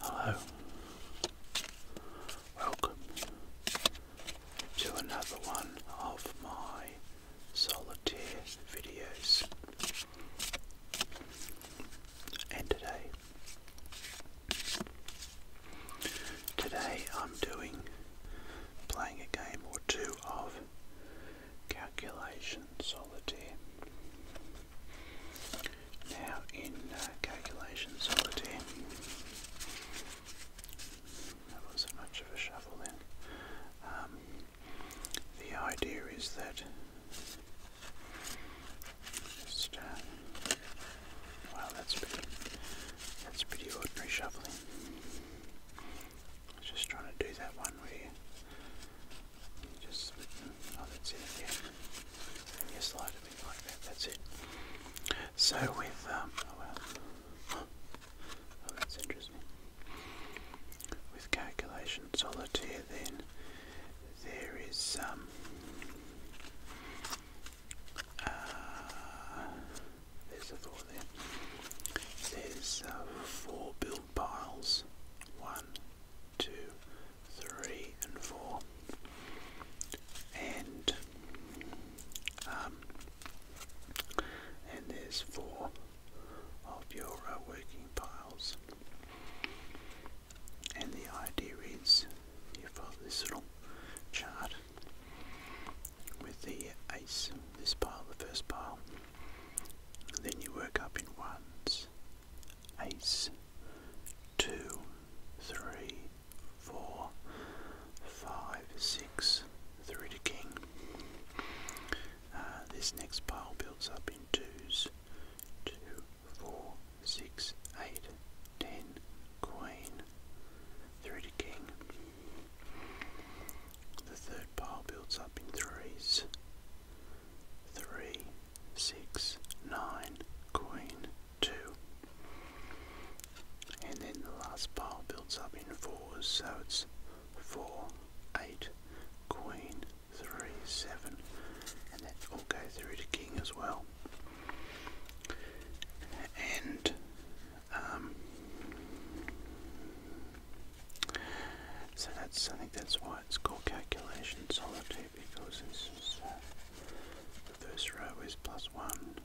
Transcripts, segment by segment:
Hello, welcome to another one of my solitaire videos. And today, today I'm doing playing a game or two of calculation solitaire. Now in uh, calculations calculation solitaire, that wasn't much of a shuffle then. Um, the idea is that just, uh, well, that's pretty, that's pretty ordinary shuffling. just trying to do that one where just oh, that's it again. You slide a like that. That's it. So with um, oh well, oh that's interesting. With calculation solitaire, then there is um. Uh, there's a thought there. There's uh, four build piles. One, two, three and four. And um, and there's four of your uh, working piles. And the idea is you follow this little chart with the ace, this pile, the first pile. And then you work up in ones ace, two, three, four, five, six, three to king. Uh, this next pile builds up in twos, two, four, six, eight, ten, queen, three to king. The third pile builds up in threes, three, six, nine, queen, two. And then the last pile builds up in fours, so it's four, eight, queen, three, seven, and that all go through to king as well. And um, so that's I think that's why it's called calculation solitaire because this uh, the first row is plus one,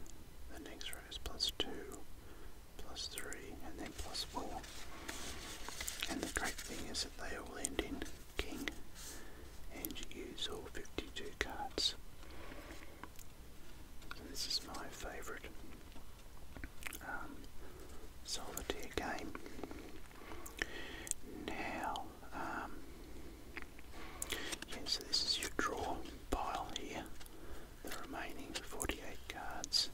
the next row is plus two, plus three, and then plus four. And the great thing is that they all end in king, and you use all fifty-two cards. So this is my favourite um, solitaire game. Now, um, so this is your draw pile here, the remaining 48 cards.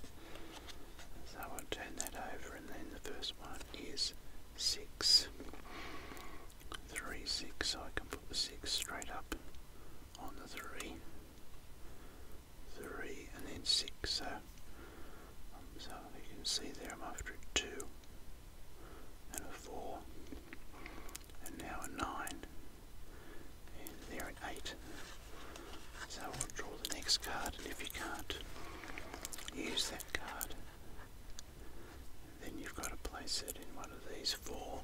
So I'll turn that over, and then the first one is six, three, six. so I can put the 6 straight up on the 3. 3 and then 6, so um, so you can see there I'm after a 2 and a 4 and now a 9 and there an 8. So i will draw the next card and if you can't use that card then you've got to place it in one of these four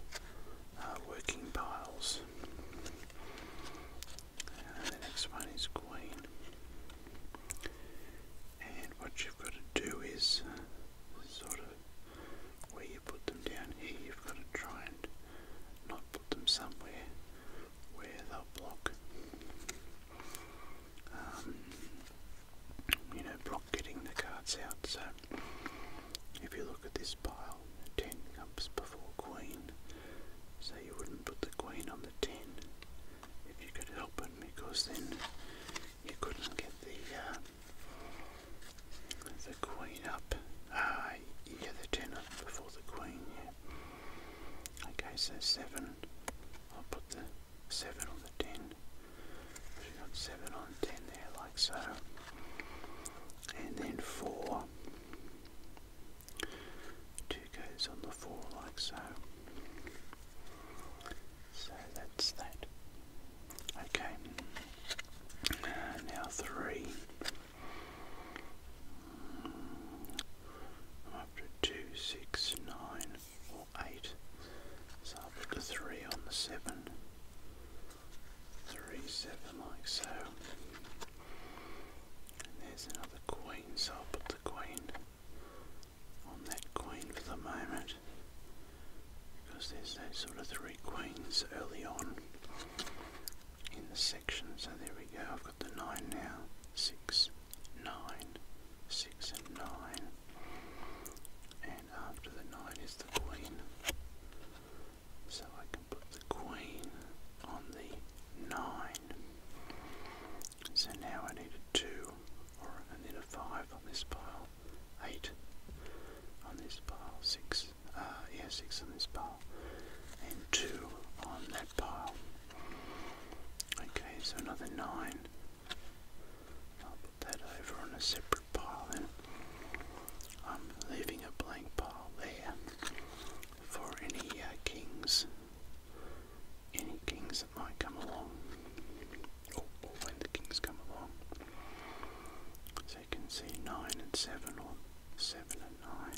uh, working piles. And the next one is Queen. And what you've got to do is uh, sort of where you put them down here, you've got to try and not put them somewhere where they'll block. Um, you know, block getting the cards out. So if you look at this pile, 10 comes before Queen, so you wouldn't put the Queen on the 10 if you could help him because then you couldn't get the uh, the queen up. Ah, yeah, the ten before the queen. Yeah. Okay, so seven. I'll put the seven on the ten. you got seven on ten there, like so, and then four. 2 goes on the 4 like so. So that's that. Okay, now 3. I'm up to 2, or 8. So I'll put the 3 on the 7. 3, 7 like so. And there's another queen, so I'll put the queen on that queen for the moment because there's those sort of three queens early on in the section. So there we go, I've got the nine now. Six, nine, six and nine. And after the nine is the queen. So I can put the queen on the nine. So now I need a 2, or I need a 5 on this pile, 8 on this pile, 6, uh, yeah, 6 on this pile, and 2 on that pile. Okay, so another 9. I'll put that over on a separate pile then. I'm leaving a blank pile there for any uh, kings any kings that might come along, or, oh, or oh, when the kings come along. So you can see 9 and 7, or 7 and 9,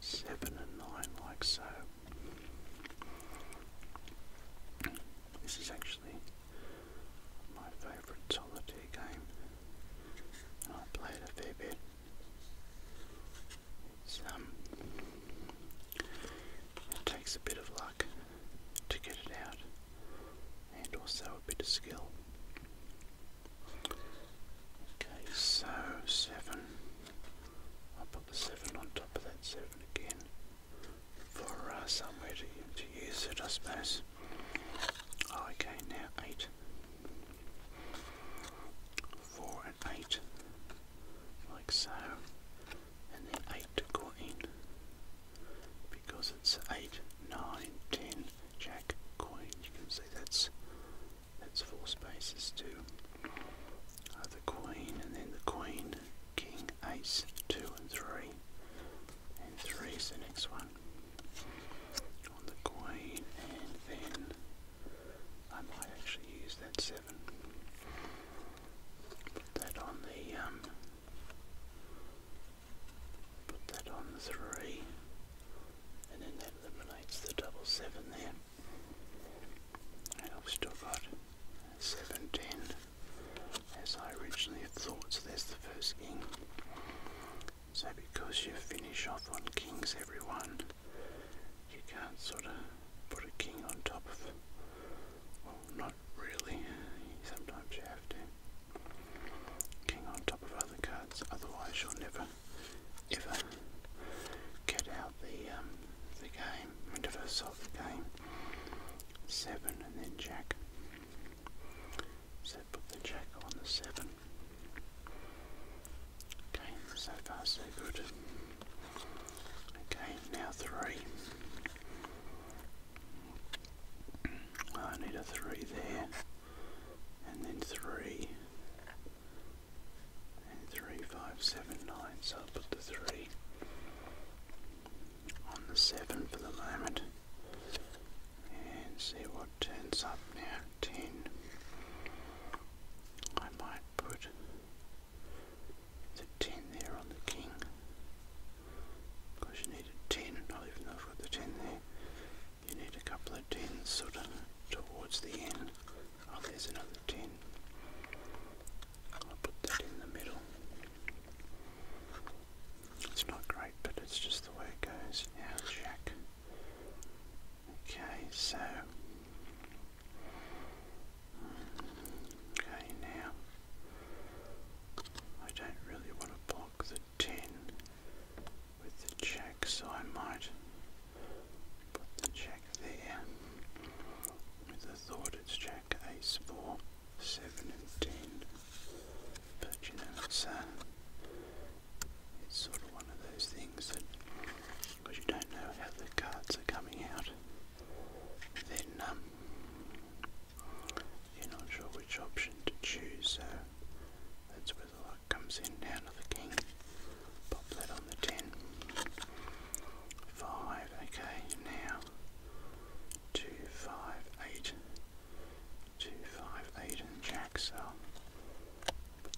7 and 9, like so. This is actually my favourite solitaire game, and I played a fair bit it's, um, it takes a bit of luck to get it out, and also a bit of skill. Okay, so seven. I'll put the seven on top of that seven again for uh, somewhere to, to use it, I suppose. Oh, okay, now eight. 4 and 8, like so, and then 8 to go because it's 8, 9, 10, jack, coin, you can see that's, that's 4 spaces to uh, the queen, and then the queen, king, ace, 2 and 3, and 3 is the next one, on the queen, and then I might actually use that 7. Put that on the, um, put that on the 3. And then that eliminates the double seven there. And I've still got 710 as I originally thought, so there's the first king. So because you finish off on kings everyone, you can't sort of put a king on top of them. Well, not really. Sometimes you have to. King on top of other cards, otherwise you'll never, ever get out the um, the game. We'll never solve the game. Seven and then Jack. So put the Jack on the seven. Okay, so far so good. Okay, now three. I need a three there, and then three, and three, five, seven, nine. So I'll put the three on the seven for the moment, and see what turns up now. 13. I might put the 10 there on the king. Because you need a 10, not even though I've got the 10 there. You need a couple of 10s sort towards the end. Oh, there's another 10. I'll put that in the middle. It's not great, but it's just the way it goes. Now, Jack. Okay, so okay now I don't really want to block the ten with the check, so I might put the check there with the thought it's check ace four, seven and ten. But you know it's uh it's sort of one of those things that, because you don't know how the cards are coming out, then um, you're not sure which option to choose. So that's where the luck comes in. Down to the king. Pop that on the ten. Five. Okay. Now two, five, eight. Two, five, eight, and jack. So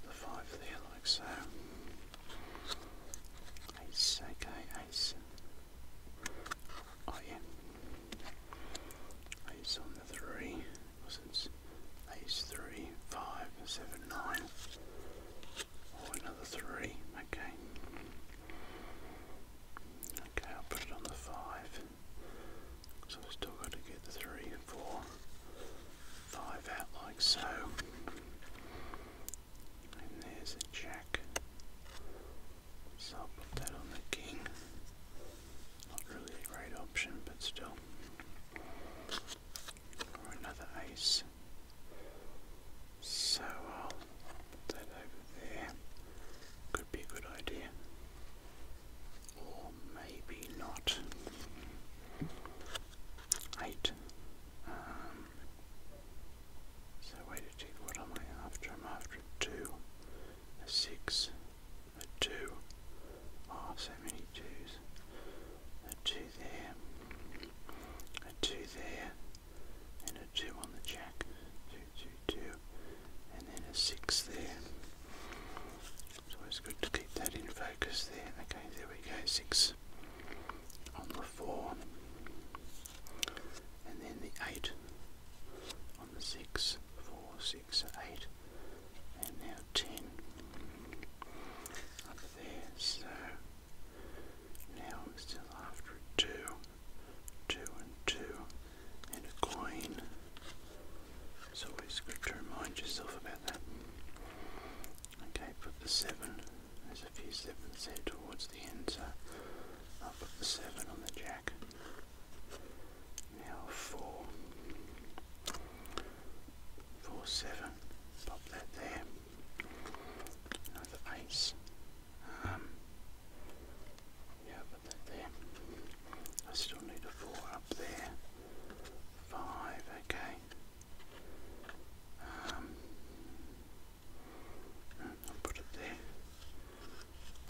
the five there like so. Ace, okay, ace. Oh Ace on the three. Because it's ace three, five, seven, nine. Oh, another three. Okay. Okay, I'll put it on the five. So I've still got to get the three, four, five out like so. And there's a jack. So I'll put that on the king. Not really a great option, but still. Or another ace. So I'll put that over there. Could be a good idea or maybe not. Eight. Um, so wait a tick, what am I after? I'm after a two, a six, a two. Oh, so many twos. A two there, a two there, and a two on the jack. Two, two, two, and then a six there. It's always good to keep that in focus there. Okay, there we go, six on the four, and then the eight on the six, four, six, eight, and now ten up there. So now I'm still after two, two and two, and a coin. It's always good to remind yourself about that. Okay, put the 7, there's a few 7s there towards the end, so I'll put the 7 on the jack. Now 4, 4, 7, pop that there. Another ace. Um, yeah, put that there. I still need a 4 up there five, okay. Um, I'll put it there.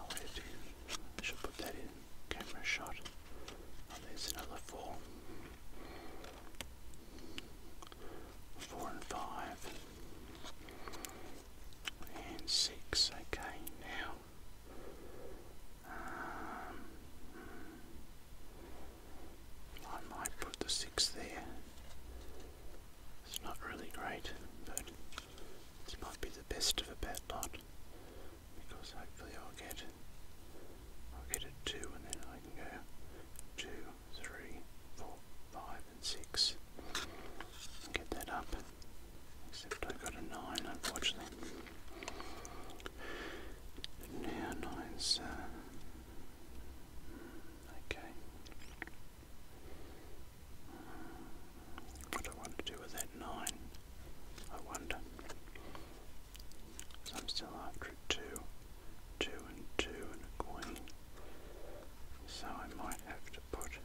Oh, wait, I should put that in camera shot. Oh, there's another four. Four and five. And six, okay, now. Um, I might put the six there. It's not really great, but this might be the best of a bad lot because hopefully I'll get I'll get a two and then I can go two, three, four, five and six. Get that up. Except I got a nine unfortunately. Neonides. Uh, okay. What I want to do with that nine? I wonder. So I'm still after two, two and two and a queen. So I might have to put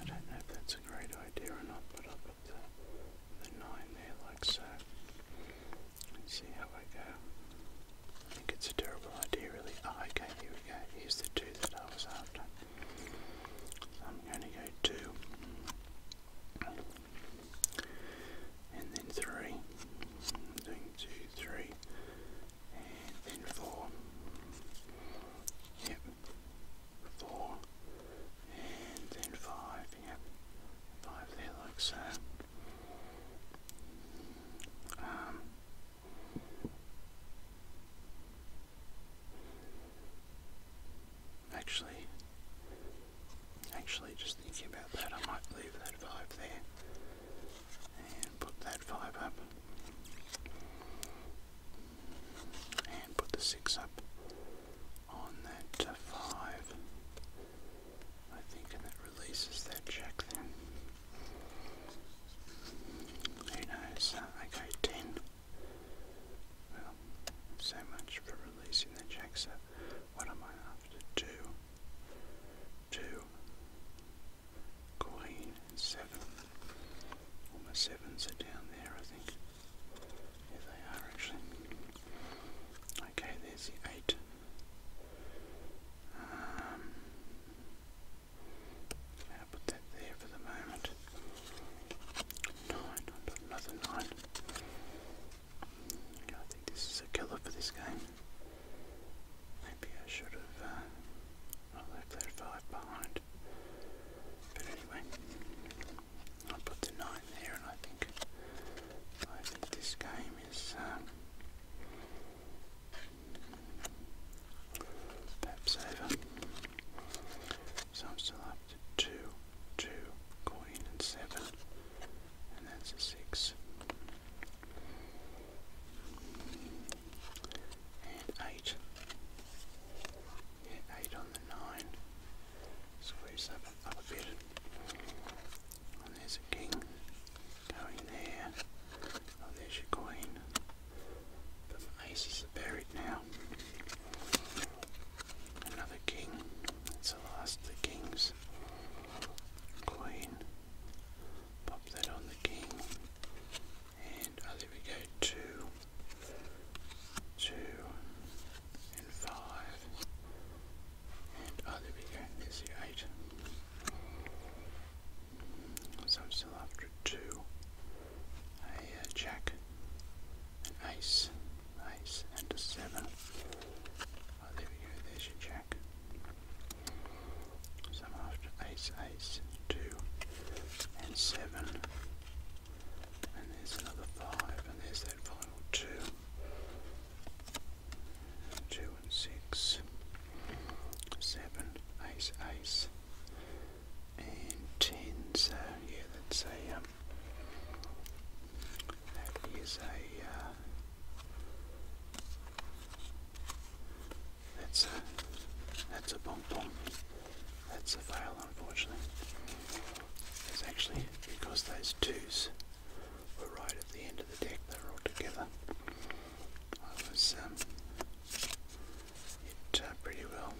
I don't know if that's a great idea or not, but I'll put the, 9 there like so. Let's see how I go. I think it's a terrible idea really. Oh, okay, here we go. Here's the 2 that I was after. I'm going to go 2. And then 3. i And then 4. Yep, four, and then five, yep, five there like so. Um, actually, actually just thinking about that, I might leave that five there and put that five up and put the 6 up on that uh, 5, I think, and that releases that check then. Who knows? Uh, okay, 10. Well, so much for releasing the check, so what am I after? 2. 2. Queen and seven. All my sevens are down there, I think. There they are actually. Okay, there's the eight. Um, I'll put that there for the moment. 9 another nine. I think this is a killer for this game. Maybe I should have uh, left that five behind. But anyway, I put the nine there, and I think I think this game is um, perhaps over. So I'm still up to two, two, coin, and seven, and that's a six and 8. 8 on the 9. Squeeze that up, bit. And there's a king going there. Oh, there's your queen. But my aces buried now. Another king. That's the last of the kings. Queen. Pop that on the king and oh, there we go, two, two, and five, and oh, there we go, there's the eight. So I'm still after two, a uh, jack, an ace, ace, and a seven. Oh, there we go, there's your jack. So I'm after ace, ace, two, and seven. And there's another five, and there's that final two. Two and six, seven, ace, ace, and ten. So yeah, that's a um, that is a uh, that's a, that's a bonbon. That's a fail, unfortunately. It's actually because those twos were right at the end of the deck, they are all together. I was um, it uh, pretty well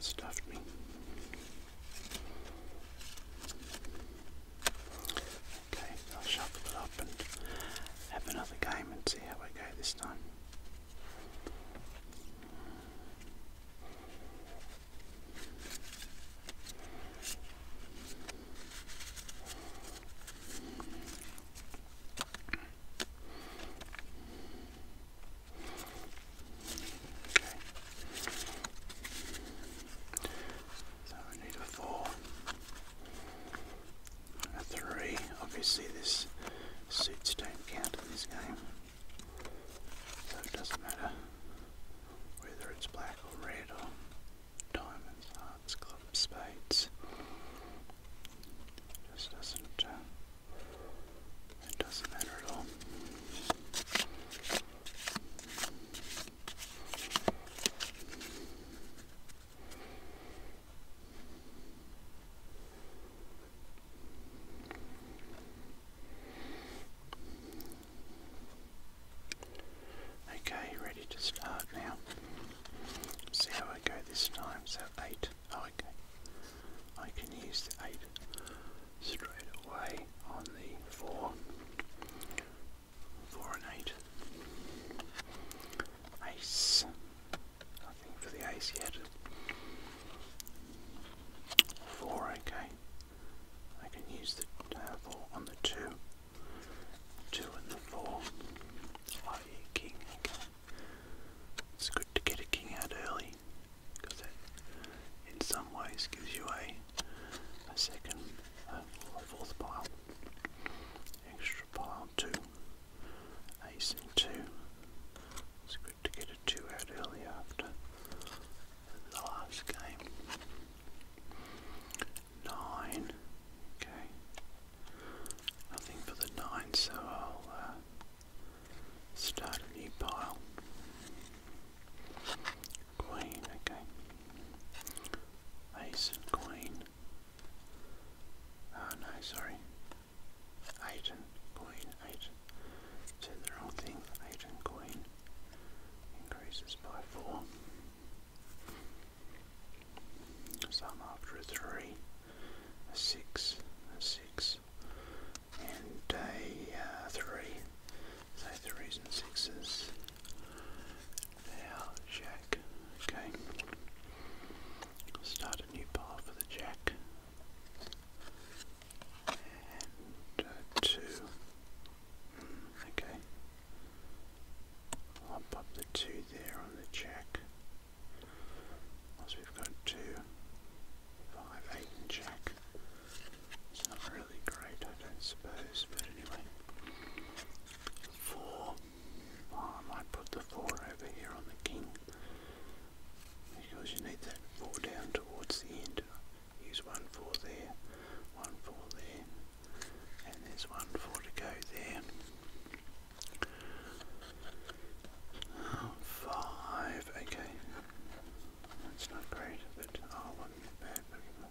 stuffed me. Okay, I'll shuffle it and have another game and see how I go this time. So we need a four a three. Obviously, this suits don't count in this game, so it doesn't matter whether it's black or red or diamonds, hearts, clubs, spades. just doesn't. Uh, it doesn't matter at all. Okay, ready to start now. See how I go this time. So eight. Oh, okay. I can use the eight straight away on the four. Voronite. Ice. Nothing for the ice yet. Four, okay. I can use the uh, on the two. Two and the four. Oh, king, okay. It's good to get a king out early, because that in some ways gives you a, a second, a fourth pile. Extra pile. R2, ace and 2. It's good to get a 2 out early after the last game. 9, okay. Nothing for the 9, so I'll uh, start a new pile. Queen, okay. Ace and queen. Oh no, sorry. Agent, coin, agent. Said the wrong thing. Agent coin increases by four. Some after a three, a six, a six, and a uh, three. So threes and sixes. Now Jack. Okay. Start a new path for the Jack. Uh, two. Hmm, okay. I'll pop the two there on the Jack. Once we've got two, five, eight, and Jack. It's not really great, I don't suppose, but anyway. Four. Well, oh, I might put the 4 over here on the king because you need that 4 down towards the end. Use 1 4 there, 1 4 there, and there's 1 4 to go there. Oh, 5, okay. That's not great, but oh, wasn't bad. But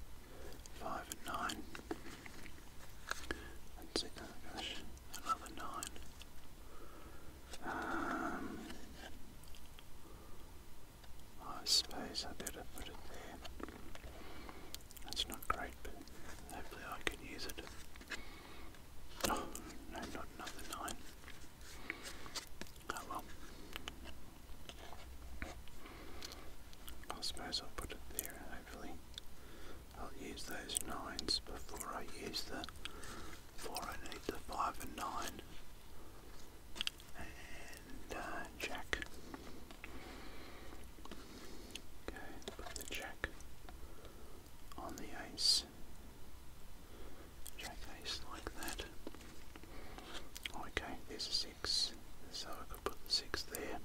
5 and 9. Oh another nine. Um, I suppose I better put it there. That's not great, but hopefully I can use it. Oh, no, not another nine. Oh well. I suppose I'll put it there hopefully. I'll use those 9s before I use the 4. I need the 5 and 9. And jack. Uh, okay, put the jack on the ace. Jack ace like that. Okay, there's a 6, so I could put the 6 there.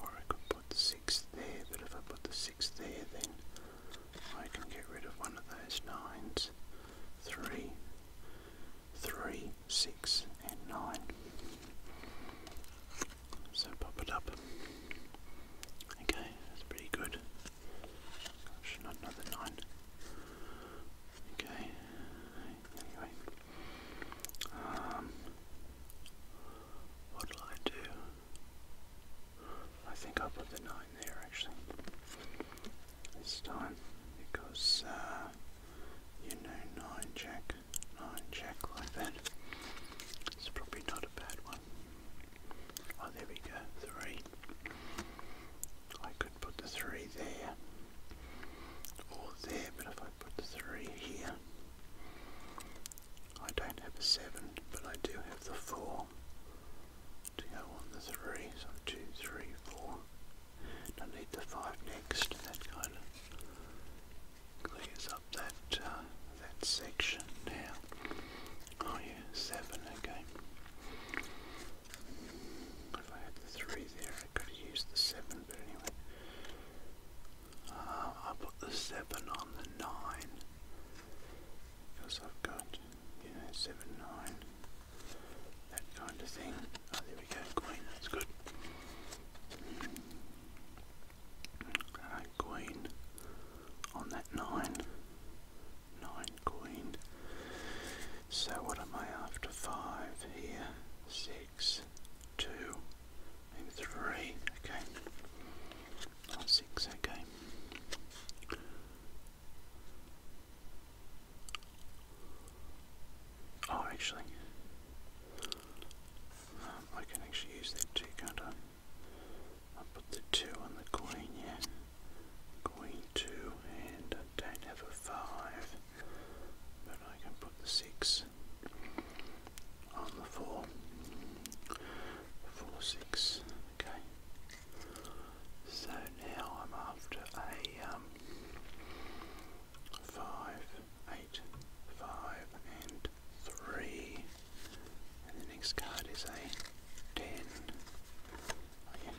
Or I could put 6 there, but if I put the 6 there, then I can get rid of one of those 9s. 3, 6 and 9. So pop it up. Okay, that's pretty good. Gosh, not another 9. Okay, anyway. Um, what'll I do? I think I'll put the nine there actually this time because uh, you know nine check nine check like that. It's probably not a bad one. Oh, there we go, three. I could put the three there or there, but if I I put three here. I don't have a seven, but I do have the four to go on the three. So two, three, four. I need the five next. That kind of clears up that uh, that section now. Oh yeah, seven. Okay. If I had the three there, I could have used the 7, but anyway. Uh, I put the 7 on the 9. Because I've got, you know, 7, 9. That kind of thing. Oh, there we go, queen, that's good. Uh, queen on that 9. 9, queen. So what am I after? 5 here, 6 six, okay. six, okay. Oh, actually, um, I can actually use that too, can I? put the two on the queen, yeah. Queen two, and I don't have a five, but I can put the six on the four, four, six. Okay. So now I'm after a um, five, eight, five, and three. And the next card is a ten. Oh,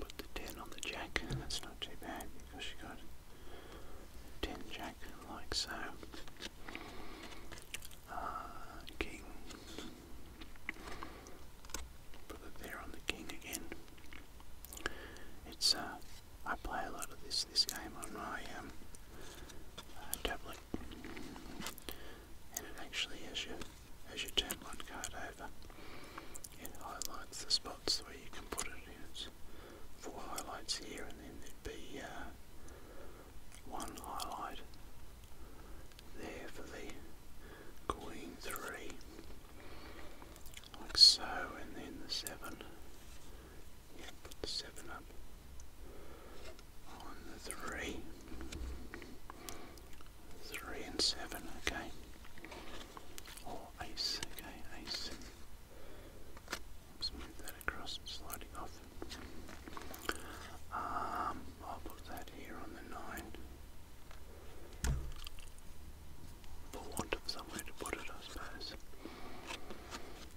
put the ten on the jack. That's not too bad because you got Ten jack like so. Uh, king. Put it there on the king again. It's uh, I play a lot of this this game on my um, uh, tablet, and it actually has your as your turn one card over highlights the spots where you can put it in. four highlights here and then there'd be uh, one highlight there for the queen three, like so, and then the seven. Yeah, the seven up on the three. Three and seven, okay oh, ace, okay, ace. let that across, sliding off. Um, I'll put that here on the nine. For want somewhere to put it, I suppose.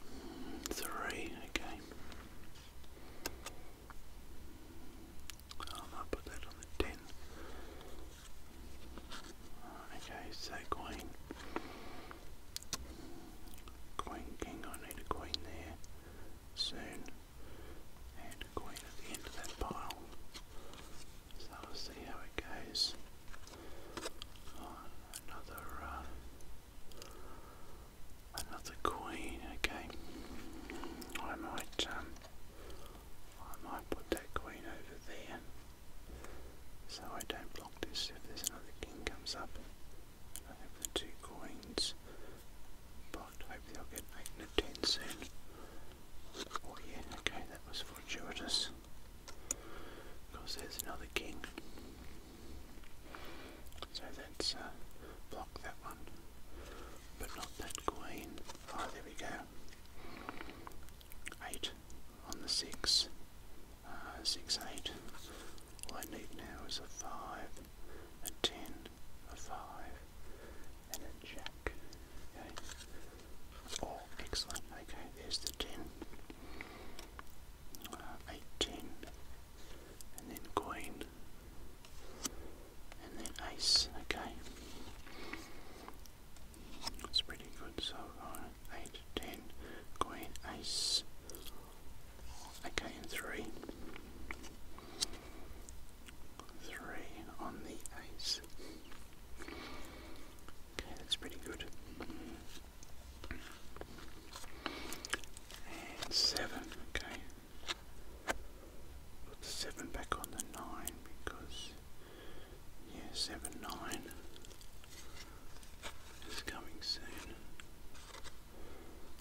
Mm, three, okay. Um, I'll put that on the ten. Okay, so queen. Queen, king, I need a queen there soon. And queen at the end of that pile. So I'll see how it goes. another, uh, another queen, okay. I might, um, I might put that queen over there. So I don't block this if there's another king comes up. I have the two coins blocked. Hopefully I'll get 8 and 10 soon. Oh yeah, okay, that was fortuitous. Because there's another king. So that's uh, block that one. But not that queen. Ah, there we go. 8 on the 6, uh, 6, 8. All I need now is a 5, a 10, a 5, and a jack. Okay. Oh, excellent. Okay, there's the 10. Uh, and then queen, and then ace. Okay. That's pretty good so far. Uh, 8, 10, queen, ace. Okay, and 3. 3 on the ace. Okay, that's pretty good. And 7, okay. Put 7 back on the 9 because yeah, seven nine is coming soon.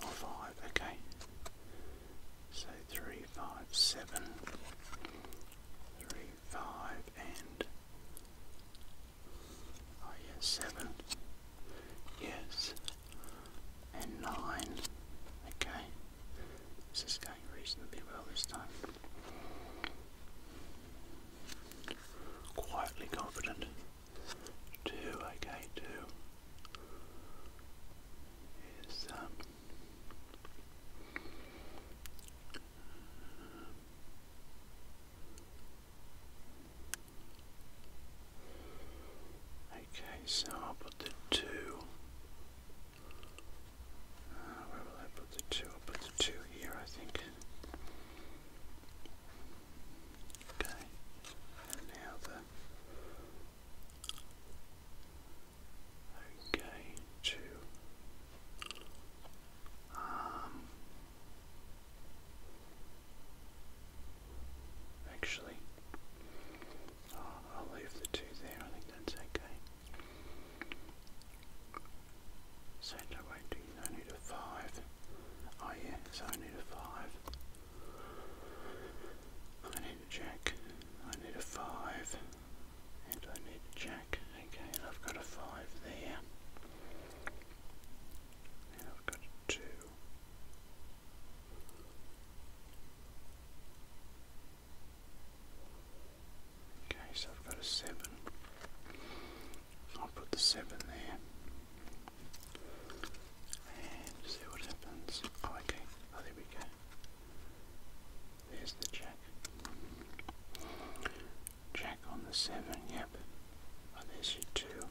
Or oh, okay. So three, five, seven, three, five, and oh yeah, seven. Yes. And nine. Okay. This is going reasonably well this time. Quietly confident. Two, okay, two is um, Okay, so I'll put the two where will I put the two? I'll put the two here, I think. Okay. And now the. Okay, two. Um. Actually, I'll leave the two there. I think that's okay. Um, um, Centre weighting, I need a 5. Oh yeah, I need a 5. I need a jack, I need a 5, and I need a jack. Okay, I've got a 5 there. I've got 2. Okay, so I've got a seven. I'll put the seven there. And see what happens. Oh, okay. Oh, there we go. There's the jack. Jack on the seven, yep. Oh, there's your two.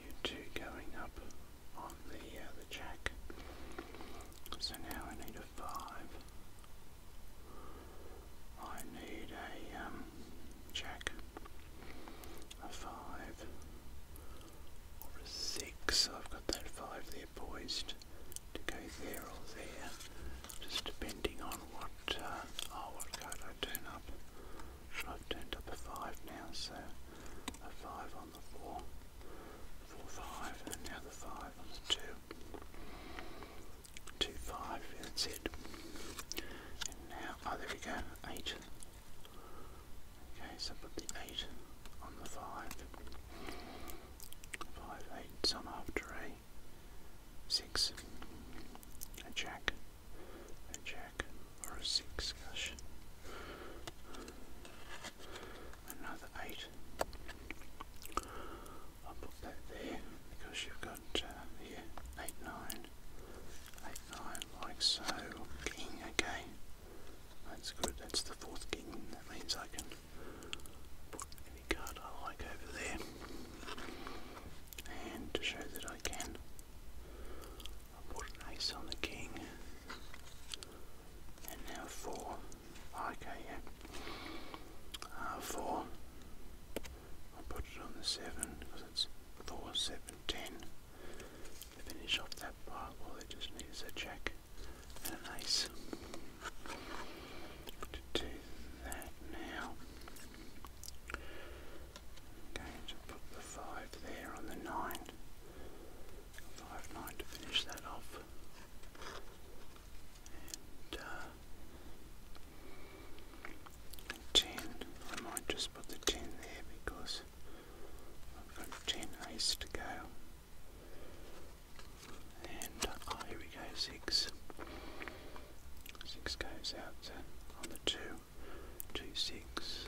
You two going up on the uh, the jack. So now I need a five. I need a um, a five, or a six. I've got that five there poised to go there or there, just depending on what uh, oh what card I turn up. I've turned up a five now, so a five on the 4, the 5 on the 2. 2, that's it. now, oh there we go, 8. Okay, so put the 8 on the 5. 5, 8, sum after a 6. A jack. A jack. Or a six, gosh another eight. I'll put that there because you've got uh, here eight nine, eight nine like so. King, okay, that's good. That's the fourth king. That means I can put any card I like over there. And to show that I can, i put an ace on the king and now 4, okay yeah, uh, 4, I'll put it on the 7 because it's 4, 7, 10, to finish off that part, all well, it just needs a jack and an ace, to do that now, I'm going to put the 5 there on the 9, 5, 9 to finish that off ten. Uh, I might just put the ten there because I've got ten ace to go. And uh, oh, here we go, six. Six goes out to, on the two, two six,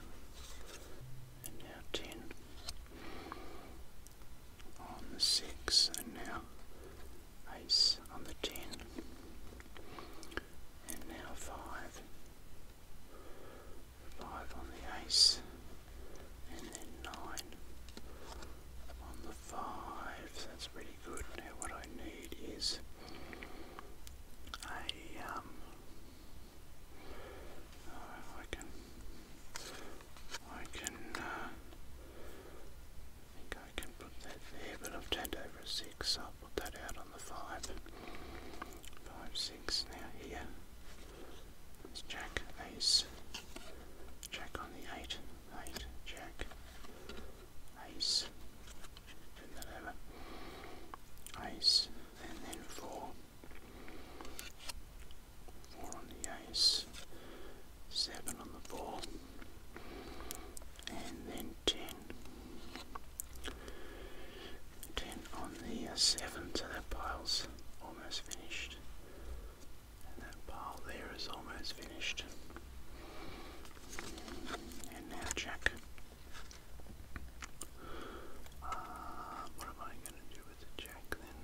and now ten on the 6 and now ace on the 10 and now 5 5 on the ace and then 9 on the 5 that's pretty good now what I need is a um, I can, I can, uh, think I can put that there, but I've turned over a 6, I'll put that out on the 5. 5, 6 now here. Let's jack, ace, jack on the 8, 8, jack, ace, turn that over. Ace and then four four on the ace, seven on the ball, and then ten. on the uh, seven, so that pile's almost finished. And that pile there is almost finished. And now Jack. Uh, what am I going to do over Jack then.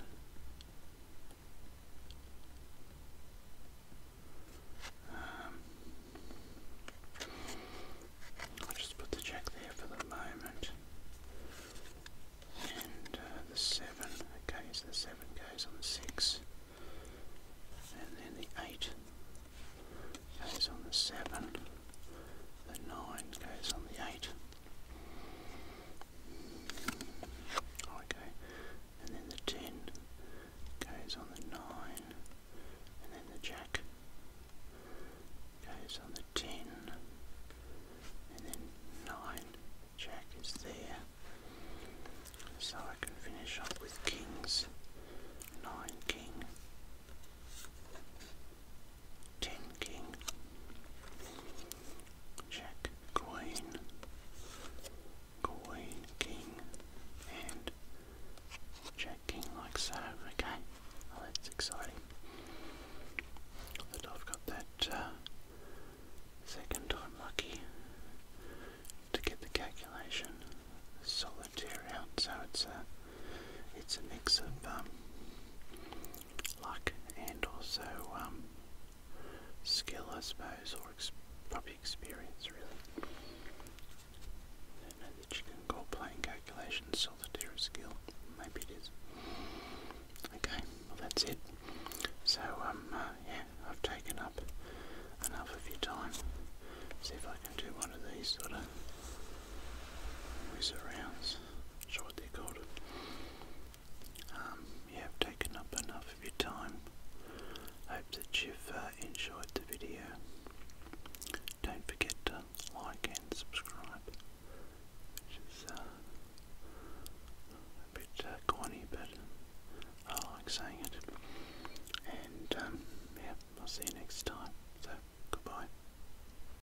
I'll just put the check there for the moment. And uh, the 7, okay, so the 7 goes on the 6. And then the 8 goes on the 7. The 9 goes on the 8. Oh, okay, and then the 10 goes on the 9, and then the jack goes on the 10, and then 9, jack is there. So I can finish up with kings, 9 king. Tin King, Jack Coin, Coin King, and Jack King like so. Okay, oh, that's exciting that I've got that uh, second time lucky to get the calculation solitaire So it's a it's a mix of um, luck and also um, skill, I suppose, or probably experience, really. I know that you can call playing calculations solitaire skill. Maybe it is. Okay, well that's it. So um, uh, yeah, I've taken up enough of your time. See if I can do one of these sort of whiz arounds. That's what they're called. Um, I've taken up enough of your time. Hope that you've uh, enjoyed the video. Don't forget to like and subscribe, which uh, a bit uh, corny, but I like saying it. And um, yeah, I'll see you next time. So, goodbye.